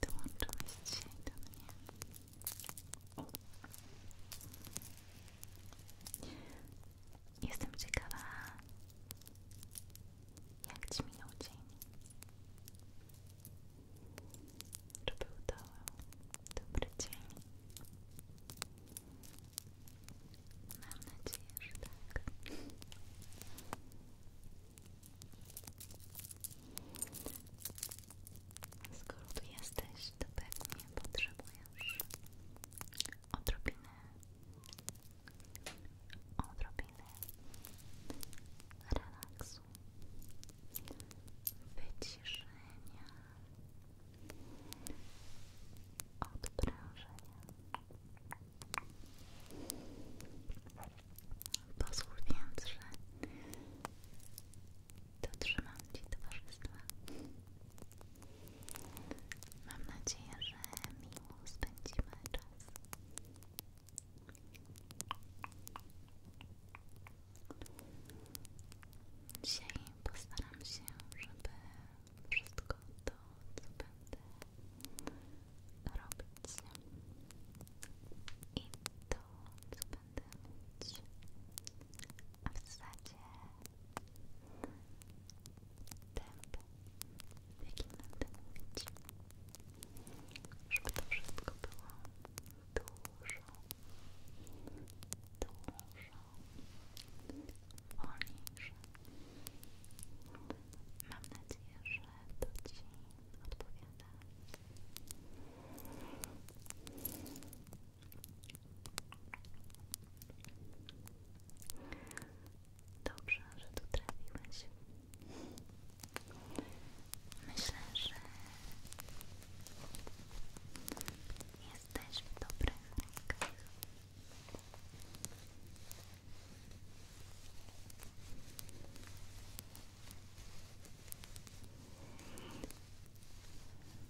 Dołączyłeś dzisiaj do Jestem ciekawa, jak Ci minął dzień. był to dobry Mam nadzieję, że tak. Skoro tu jesteś, to pewnie potrzebujesz odrobinę, odrobinę relaksu, wyciszenia, odprężenia. Pozwól więc, że dotrzymam Ci towarzystwa. Mam nadzieję, że miło spędzimy czas. Dzisiaj postaram się, żeby wszystko to, co będę robić i to, co będę mówić, a w zasadzie tempo, w jakim będę mówić, żeby to wszystko było dużo, dużo wolniejsze. Mam nadzieję, że to Ci odpowiada. Dobrze, że tu trafiłeś. Myślę, że jesteś w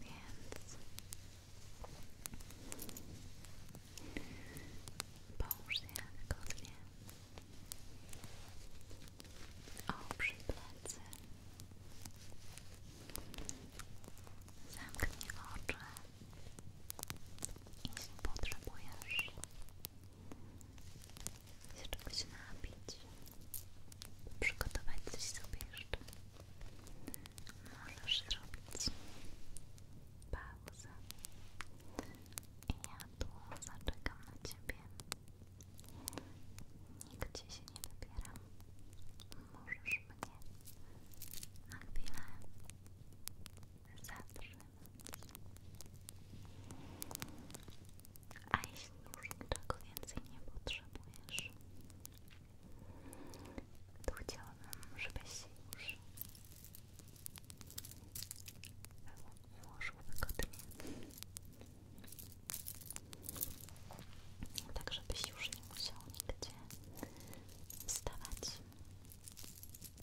więc połóż je wygodnie. Oprzyj plecy. Zamknij oczy. Jeśli potrzebujesz, się czegoś napić, przygotować coś sobie jeszcze. Możesz zrobić pauzę i ja tu zaczekam na Ciebie. Nigdzie się nie wybieram. Możesz mnie na chwilę zatrzymać. A jeśli już niczego więcej nie potrzebujesz, to chciałabym, żebyś się już ułożył wygodnie. Tak, żebyś już nie musiał nigdzie wstawać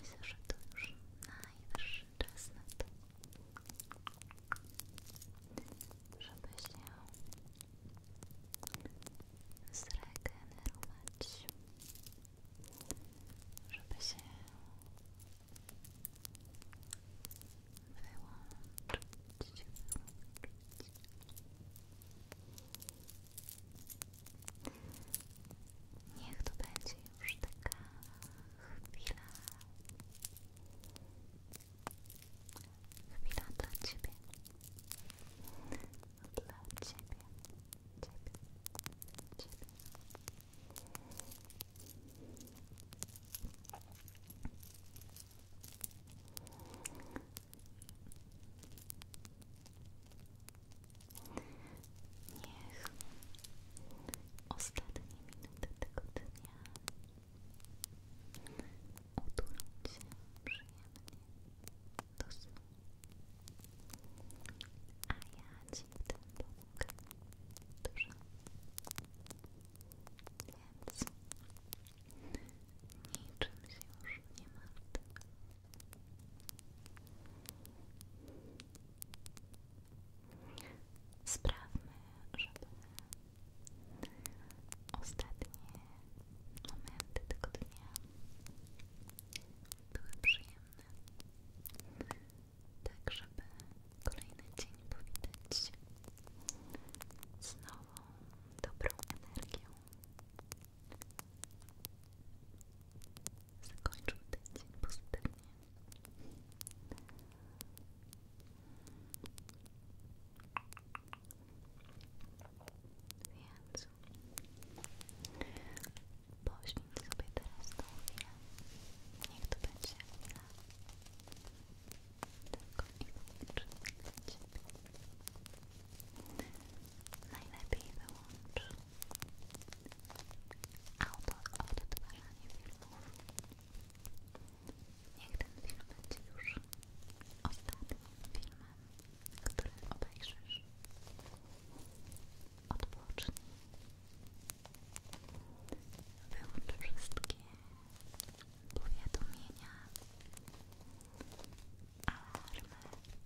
Myślę, że to już najwyższy czas na to, żeby się zregenerować, żeby się wyłączyć, Niech to będzie już taka chwila. Chwila dla Ciebie. Dla Ciebie. Ciebie. Ciebie. Niech ostatnie minuty tego dnia utulą Cię przyjemnie do snu. A ja cię w tym pomogę dużo. Więc niczym się już nie martw. Sprawmy, żeby ostatnie momenty tego dnia były przyjemne, tak żeby kolejny dzień powitać z nową, dobrą energią zakończył ten dzień pozytywnie. Więc poświęć sobie teraz tą chwilę. Niech to będzie chwila tylko i wyłącznie dla Ciebie. Najlepiej wyłącz Autor odtwarzanie filmów. Niech ten film będzie już ostatnim filmem, który obejrzysz. Odpocznij. Wyłącz wszystkie powiadomienia, alarmy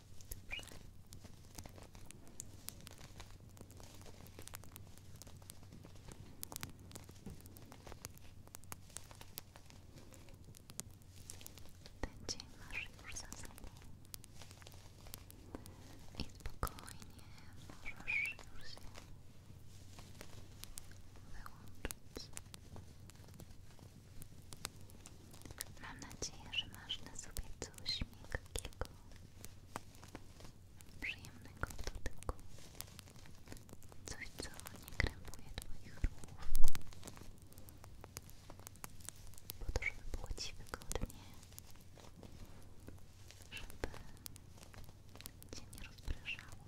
Dobrze. Ten dzień masz już za sobą i spokojnie możesz już się wyłączyć. Mam nadzieję, że masz na sobie coś miękkiego, przyjemnego w coś co nie krępuje twoich ruchów, po to, żeby było ci wygodnie, żeby cię nie rozpraszało.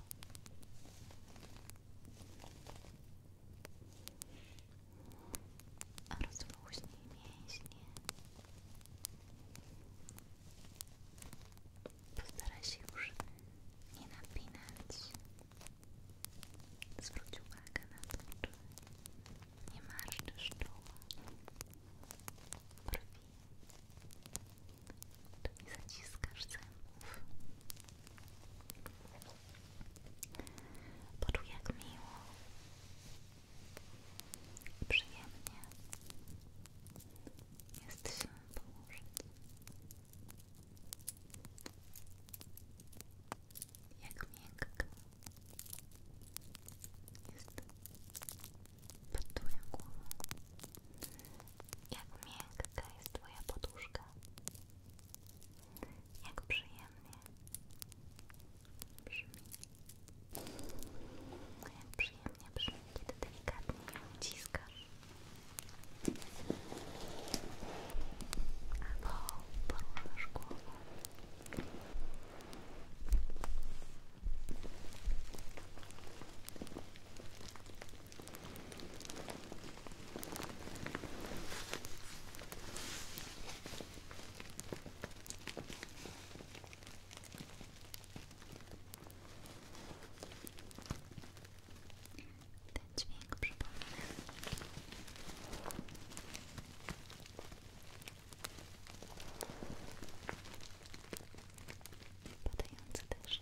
Rozluźnij mięśnie. Postaraj już nie napinać. Zwróć uwagę na to, czy nie marszczysz czoła, brwi, czy nie zaciskasz zębów. Poczuj jak miło, przyjemnie jest się położyć. Jak miękka jest twoja poduszka. Jak przyjemna przyjemnie brzmi. Jak nie, brzmi, kiedy delikatnie ją uciskasz. Albo poruszasz głową. Ten dźwięk przypomina. Padający deszcz.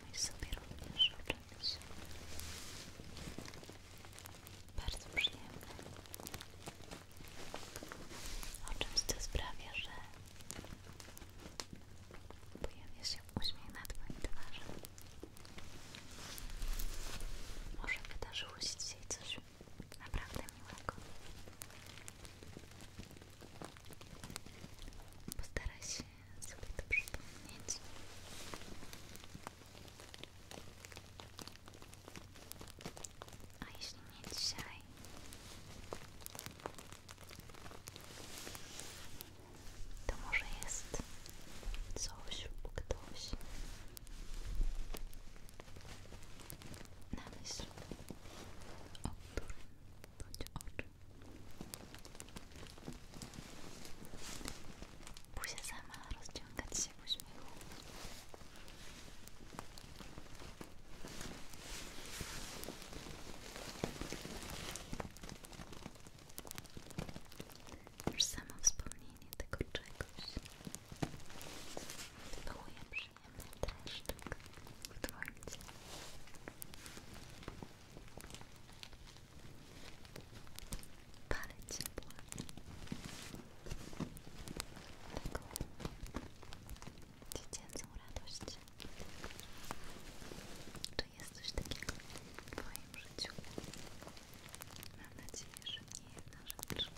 Pomyśl sobie również o czymś bardzo przyjemnym. O czymś, co sprawia, że pojawia się uśmiech na Twojej twarzy. Może wydarzyło się dzisiaj coś naprawdę miłego. Postaraj się sobie to przypomnieć. A jeśli nie dzisiaj, to może jest coś lub ktoś na myśl, bądź oczy. Buzia sama rozciągać się w uśmiechu. Już samo wspomnienie tego czegoś wywołuje przyjemny dreszczyk w dłońcu. Ale ciepło. Taką dziecięcą radość. Czy jest coś takiego w Twoim życiu? Mam nadzieję, że nie jedna rzecz.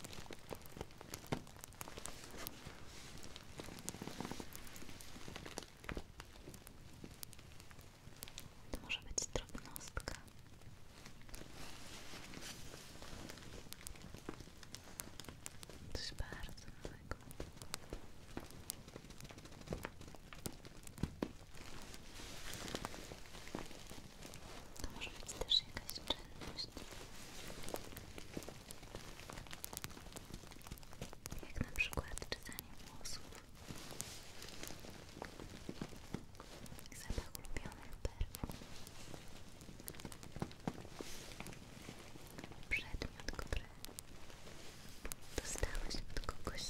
To może być drobnostka. Coś bardzo małego. To może być też jakaś czynność. Jak na przykład czytanie włosów. Zapach ulubionych perfum. Przedmiot, który dostałeś od kogoś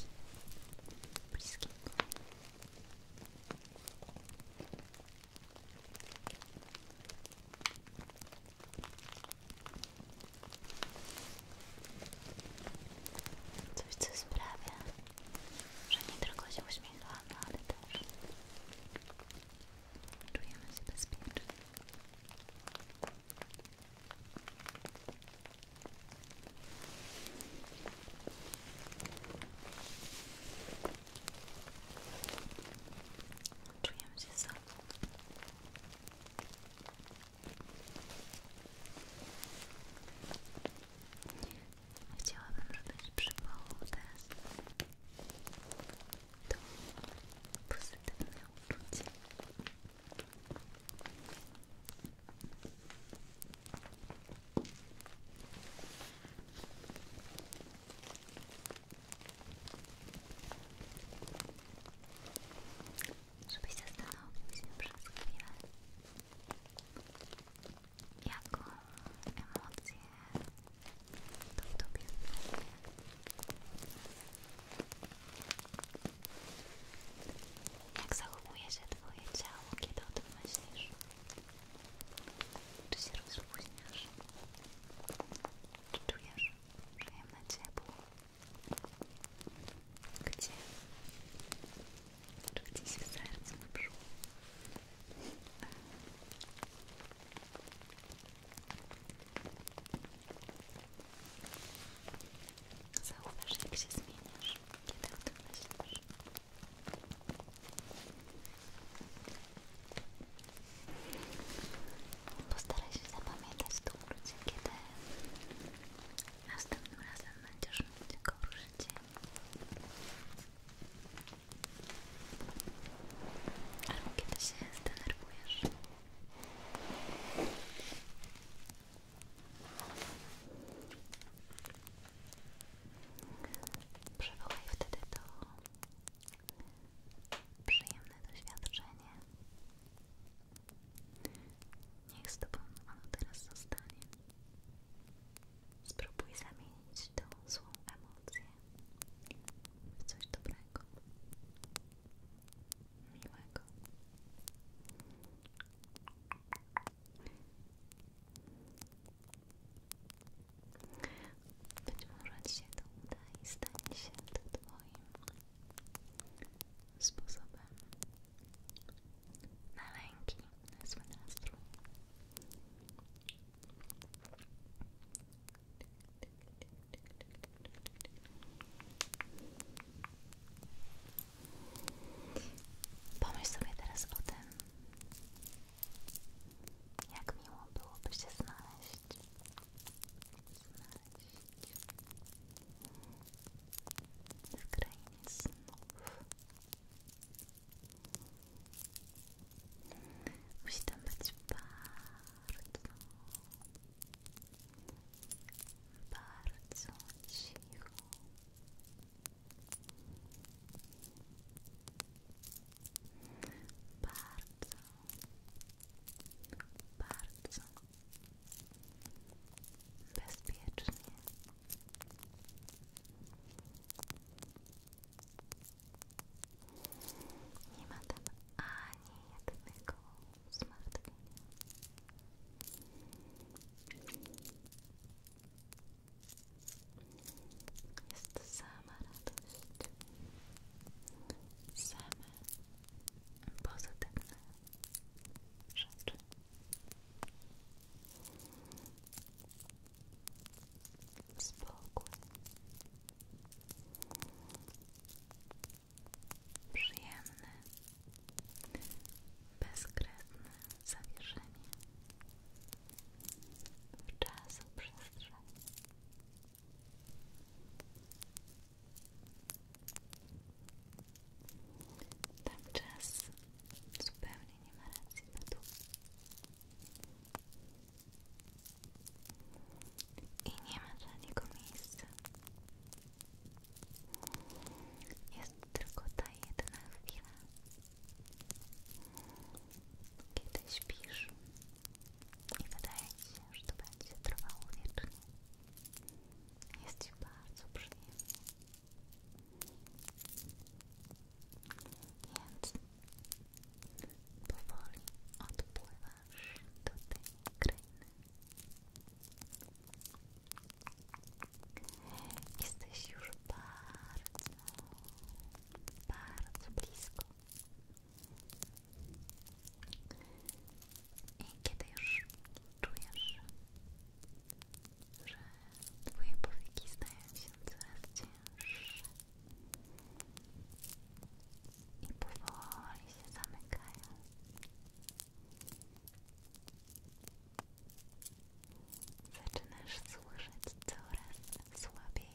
bliskiego. Coś, co sprawia, że nie tylko się uśmiechamy, ale też czujemy się bezpiecznie. Czujemy się sobą. Chciałabym, żebyś przywołał teraz to pozytywne uczucie się żebyś zastanowił się przez chwilę, jaką emocję to w tobie wywołuje. Jak zachowuje się twoje ciało, kiedy o tym myślisz? Czy się rozluźniasz? Czy czujesz przyjemne ciebie. Gdzie? Znaczy się zmieniasz, kiedy o tym myślisz. Postaraj się zapamiętać to uczucie, kiedy Następnym razem będziesz mieć gorszy dzień. Albo kiedy się zdenerwujesz. Przywołaj wtedy to przyjemne doświadczenie Niech z tobą ono teraz zostanie. Spróbuj zamienić tą złą emocję w coś dobrego, miłego. Być może Ci się to uda i stanie się Twoim sposobem na lęki, na zły nastrój. Pomyśl sobie teraz o tym, jak miło byłoby się Znaleźć z krainy snów. Musi tam być bardzo, bardzo cicho. Bardzo, bardzo bezpiecznie. Nie ma tam ani jednego zmartwienia. Jest sama radość, same Spokój. Przyjemne, bezkresne zawieszenie w czasu przestrzeni. Tam czas zupełnie nie ma racji na dół. I nie ma dla niego miejsca. Jest tylko ta jedna chwila, kiedy śpisz i wydaje ci się, że to będzie trwało wiecznie. Jest ci bardzo przyjemnie. Więc powoli odpływasz do tej krainy. już bardzo, bardzo blisko. I kiedy już czujesz że twoje powieki stają się coraz cięższe i powoli się zamykają. Zaczynasz słyszeć coraz słabiej,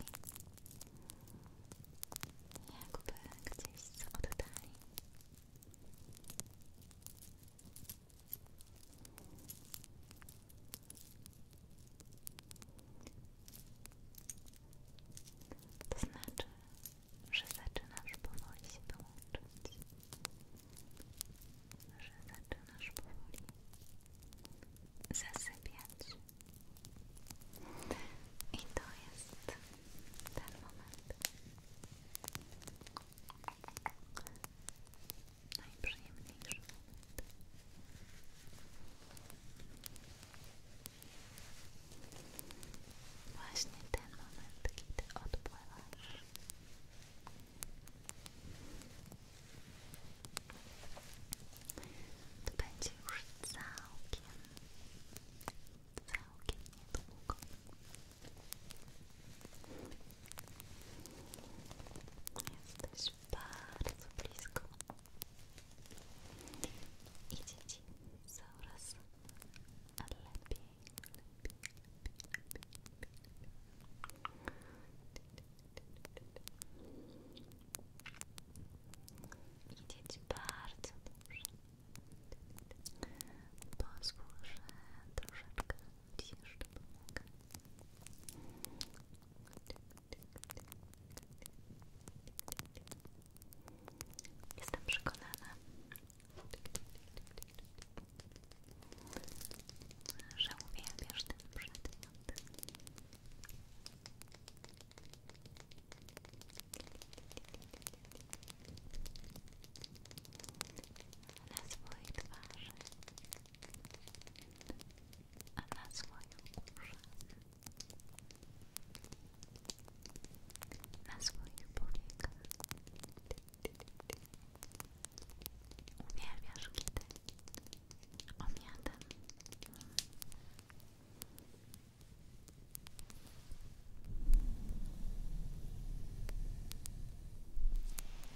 jakby gdzieś z oddali. To znaczy, że zaczynasz powoli się dołączyć, że zaczynasz powoli zasypiać. I to jest ten moment, najprzyjemniejszy moment. Właśnie ten moment, kiedy odpływasz. To będzie już całkiem, całkiem niedługo. Jesteś bardzo blisko. Idzie ci coraz lepiej, lepiej, lepiej, lepiej, lepiej. Idzie ci bardzo dobrze. Pozwól, że ci jeszcze pomogę. Jestem przekonana, że uwielbiasz ten na swojej twarzy, a na swoich uszach, na swoich powiekach. Uwielbiasz kiedy omiadam.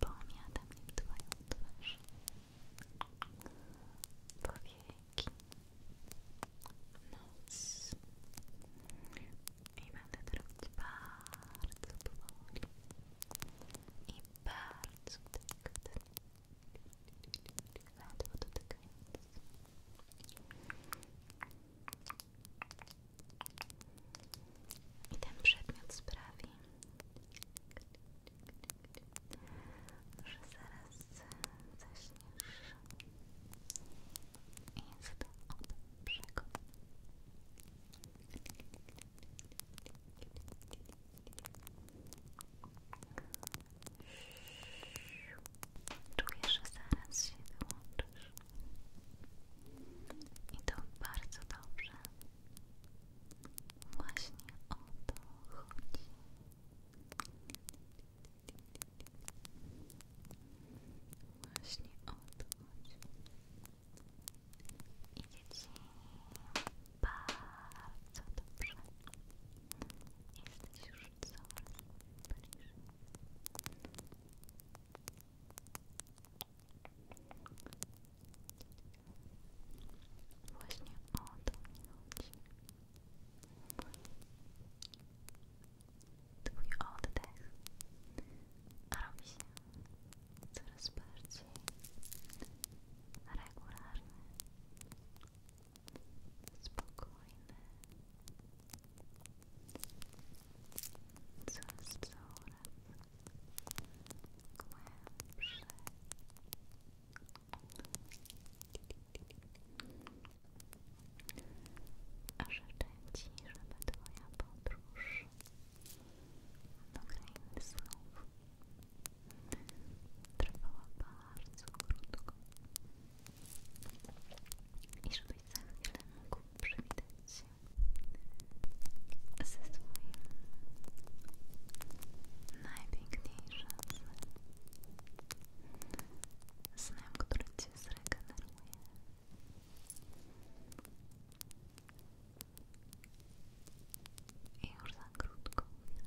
Pomiadam nim twoją twarz. Powieki. Nos. I będę to robić bardzo powoli. I bardzo gardło dotykając. I ten przedmiot sprawi, że zaraz zaśniesz. Jest to od Czuję, że zaraz się wyłączysz. I to bardzo dobrze. Właśnie o to chodzi. Właśnie o to chodzi. i Ci bardzo dobrze. Jesteś już coraz bliżej. Właśnie o to mi chodzi. Twój oddech robi się coraz bardziej regularny spokojny, coraz coraz głębszy. A życzę Ci, żeby Twoja podróż do krainy snów trwała bardzo krótko i żebyś za chwilę mógł przewidzieć ze swoim najpiękniejszym snem. Snem, który Cię zregeneruje. I już za krótką chwilę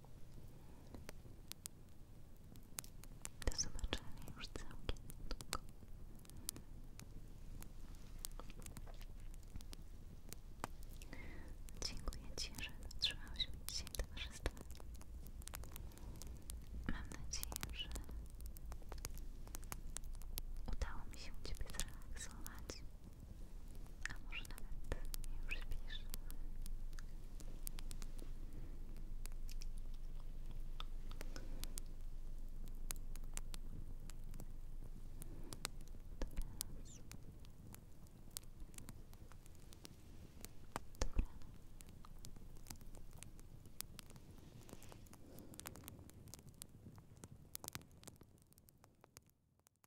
Do zobaczenia już całkiem niedługo. Dziękuję Ci, że dotrzymałeś mi dzisiaj towarzystwa. Mam nadzieję, że udało mi się Ciebie zrelaksować a może nawet nie już śpisz Dobranoc Dobranoc